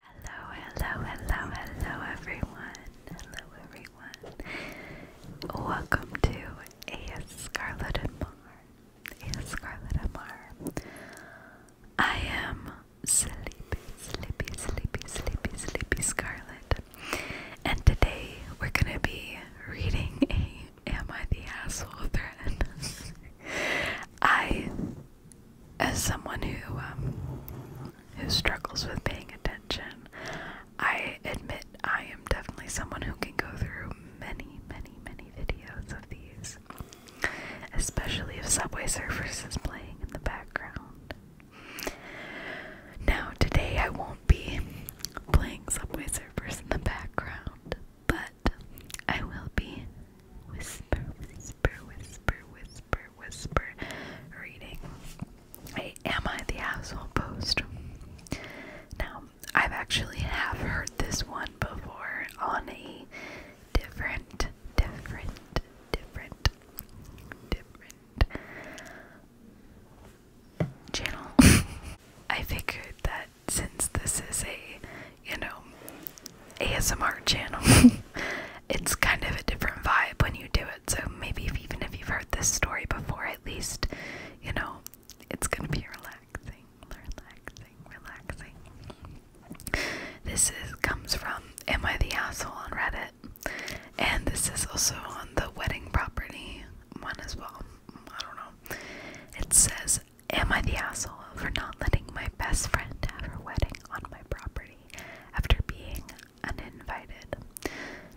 Hello, hello, hello, hello everyone. Hello everyone. Welcome to A Scarlet and Mar. A Scarlet and Mar. I am sleepy, sleepy, sleepy, sleepy, sleepy Scarlet. And today we're gonna be reading a Am I the Asshole thread. I as someone who um, who struggles with paying attention, I admit I am definitely someone who can go through many, many, many videos of these, especially if Subway Surfers is playing in the background. Now, today I won't be playing Subway Surfers in the background, but I will be whisper, whisper, whisper, whisper, whisper reading. Hey, am I the asshole post? Now, I've actually have heard this one before on a different, different, different, different channel. I figured that since this is a you know, ASMR channel. it's kind of a different vibe when you do it. So maybe even if you've heard this story before, at least, you know, it's going to be relaxing, relaxing, relaxing. This is comes from Am I the Asshole on Reddit. And this is also on the wedding property one as well. I don't know. It says Am I the asshole for not letting my best friend have her wedding on my property after being uninvited?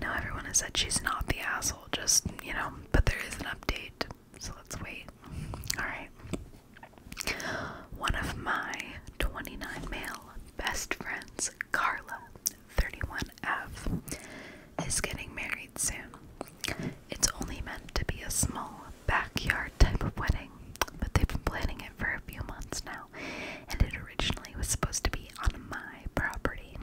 Now, everyone has said she's not the asshole, just, you know, but there is an update, so let's wait. Alright. One of my 29 male best friends, Carla, 31F, is getting married soon. It's only meant to be a small backyard type of wedding, but they've been planning it for a few months now, and it originally was supposed to be on my property.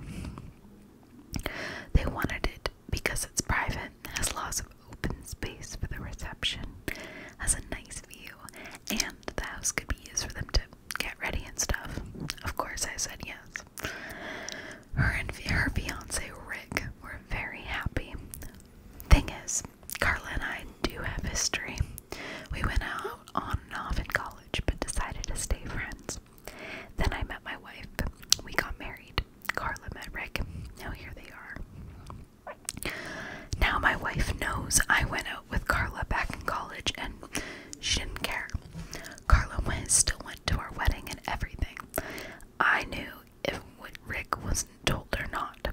They wanted it because it's private, has lots of open space for the reception, has a nice view, and the house could be used for them to get ready and stuff. Of course, I said yes. Her and her fiance Rick were very happy, Thing is, Carla and I do have history. We went out on and off in college, but decided to stay friends. Then I met my wife. We got married. Carla met Rick. Now here they are. Now my wife knows I went out with Carla back in college and she didn't care. Carla went, still went to our wedding and everything. I knew if Rick was told or not.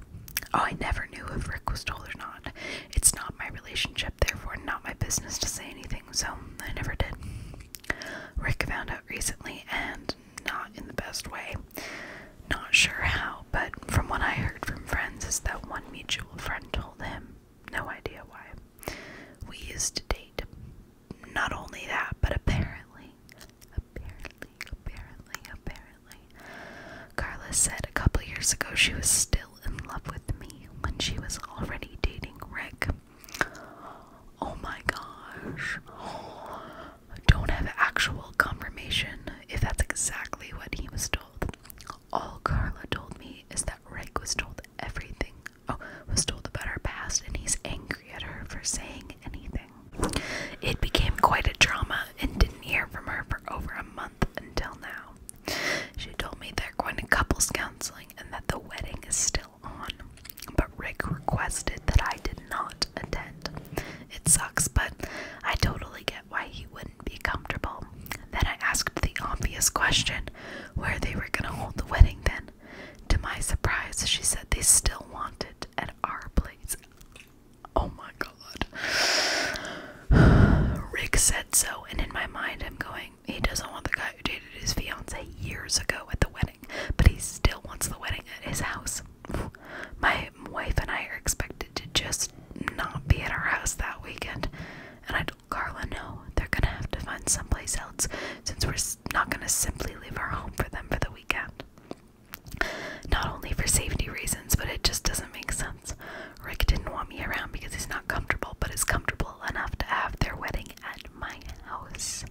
Oh, I never knew if Rick was told or not. It's not my relationship, therefore, not my business to say anything, so I never did. Rick found out recently and not in the best way. Not sure how, but from what I heard from friends, is that one mutual friend told him. No idea why. We used to date. Not only that, but apparently Apparently, apparently, apparently. Carla said a couple years ago she was still in love with me when she was already dating Rick. Oh my gosh. Don't have actual confirmation if that's exactly what he was told. All Carla told me is that Rick was told everything oh, was told about her past and he's angry at her for saying anything. It became quite a drama and didn't hear from her for over a month until now. She told me they're going to couples counseling and that the wedding is still on, but Rick requested that I did not attend. It sucks, but I totally get why he wouldn't be comfortable. Then I asked the obvious question where they were going to hold the wedding then. To my surprise, she said they still want it at our place. Oh my god. Rick said so, and in my mind, I'm going, he doesn't want the guy who dated his fiance years ago at the wedding, but he still wants the wedding at his house. My wife and I are expected to just not be at our house that weekend, and I told Carla no, they're gonna have to find someplace else since we're not going to simply leave our home for them for the weekend. Not only for safety reasons, but it just doesn't make sense. Rick didn't want me around because he's not comfortable, but is comfortable enough to have their wedding at my house.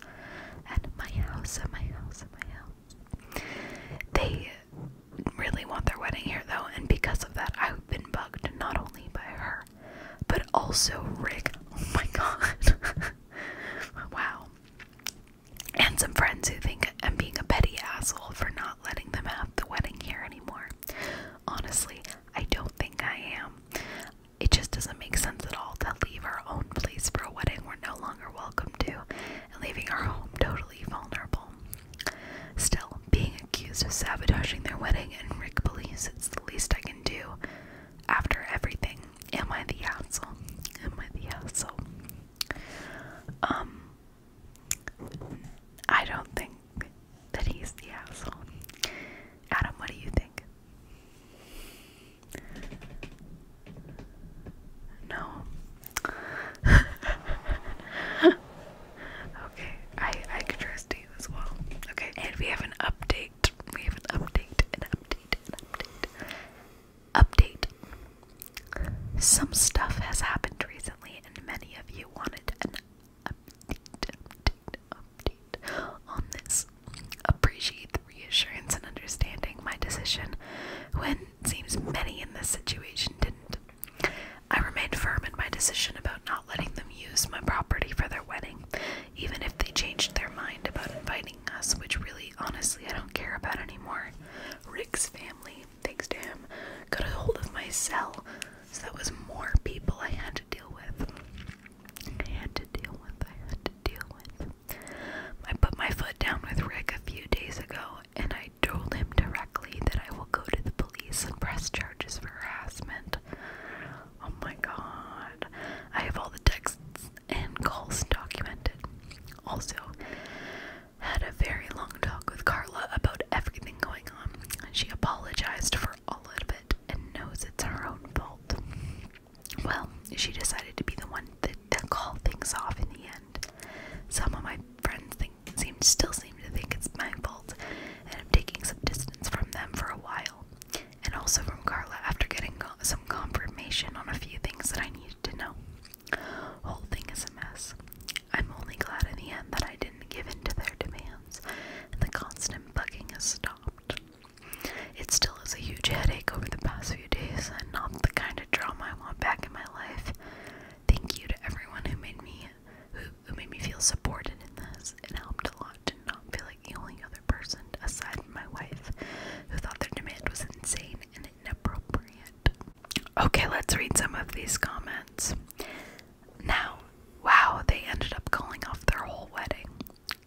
At my house, at my house, at my house. They really want their wedding here, though, and because of that, I've been bugged not only by her but also Rick. Oh my god. wow. And some friends who think I'm being a petty asshole for not letting them have the wedding here anymore. Honestly, I don't think I am. It just doesn't make sense at all to leave our own place for a wedding we're no longer welcome to and leaving our home totally vulnerable. Still, being accused of sabotaging their wedding and Rick believes it's the least I can do after everything. Am I the asshole? Am I the asshole? Um, I don't think that he's the asshole. Adam, what do you think? No. okay, I I could trust you as well. Okay, and we have an update. We have an update, an update, update. Update. Some stuff has happened recently, and many of you wanted an update, update, update on this. Appreciate the reassurance and understanding my decision when seems many in this situation didn't. I remained firm in my decision about not letting them use my property for their wedding, even if they changed their mind about inviting us, which really, honestly, I don't care about anymore. Rick's family, thanks to him, got a hold of my cell, so that was more people I had to deal with. I had to deal with, I had to deal with. I put my foot down with Rick a few days ago, and I told him directly that I will go to the police and press charges for harassment. Oh my god. I have all the texts and calls documented. Also, had a very long talk with Carla about everything going on. She apologized for all of it and knows it's her own fault. Well, she decided to be the one that, that called things off in the end. Some of my friends think still seem to think it's my fault, and I'm taking some distance from them for a while, and also from Carla after getting some confirmation on a few things that I needed to know. Whole thing is a mess. I'm only glad in the end that I didn't give in to their demands, and the constant bugging has stopped. It still is a huge headache over the past few days, and not the kind of drama I want back in my life. Thank you to everyone who made me, who made me feel supported in this. It helped a lot to not feel like the only other person, aside from my wife, who thought their demand was insane and inappropriate. Okay, let's read some of these comments. Now, wow, they ended up calling off their whole wedding.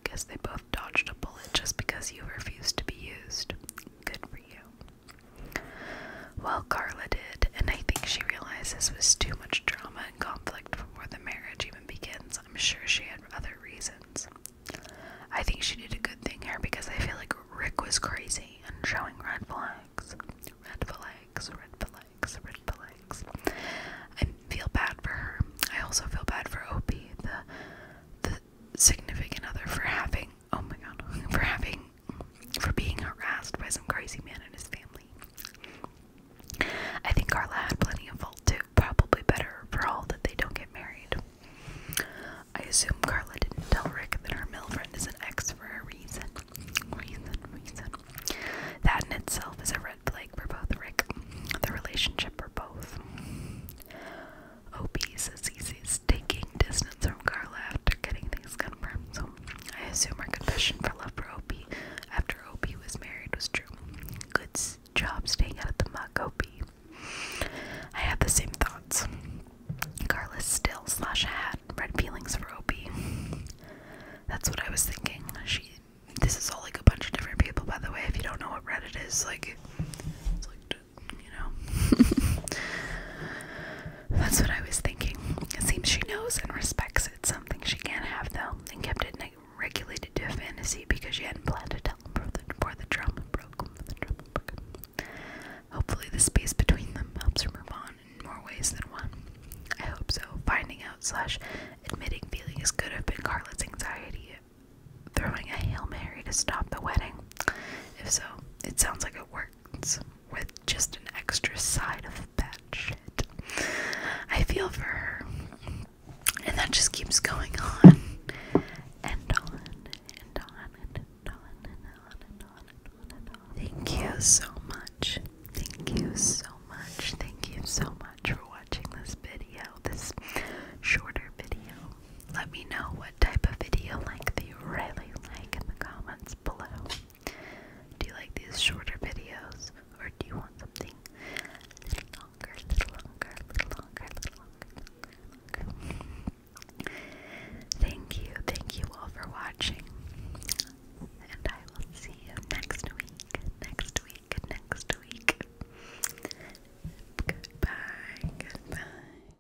Guess they both dodged a bullet just because you refused to be used. Good for you. Well, Carla did, and I think she realizes this was too much drama and conflict before the marriage even begins. I'm sure she had other reasons. I think she did a good thing here because I feel like Rick was crazy and showing red flags. Red flags, red flags, red flags. I feel bad for her. I also feel bad for Opie, the the significant other for having oh my god for having for being harassed by some crazy man and his family. I think Carla had plenty of fault too, probably better for all that they don't get married. I assume Carla didn't tell Rick that our male friend is an ex for a reason. Reason, reason. That in itself is a red flag for both Rick, the relationship for both. Opie says he's taking distance from Carla after getting things confirmed, so I assume her confession for love for Opie after Opie was married was true. Good job staying out of the mug, Opie. I had the same thoughts. Carlos still slash had red feelings for Opie. That's what I was thinking. She. This is all like a bunch of different people, by the way. If you don't know what Reddit is, like, like, you know. That's what I was thinking. It seems she knows and respects it. Something she can't have, though, and kept it regulated to a fantasy because she hadn't planned to tell him before the, before broke. Hopefully, the space between them helps her move on in more ways than one. I hope so. Finding out slash admitting feelings could have been Carlot's anxiety, throwing a hail mary to stop the wedding. If so, it sounds like it worked with just an extra side of bad shit. I feel for her. And that just keeps going on and on and on and on and on and on and on. Thank you so much. Thank you so much. Thank you so much for watching this video, this shorter video. Let me know what type of video length you really like in the comments below. Do you like these shorter videos or do you want something longer, little longer, little longer, little longer? Thank you, thank you all for watching. And I will see you next week, next week, next week. Goodbye, goodbye.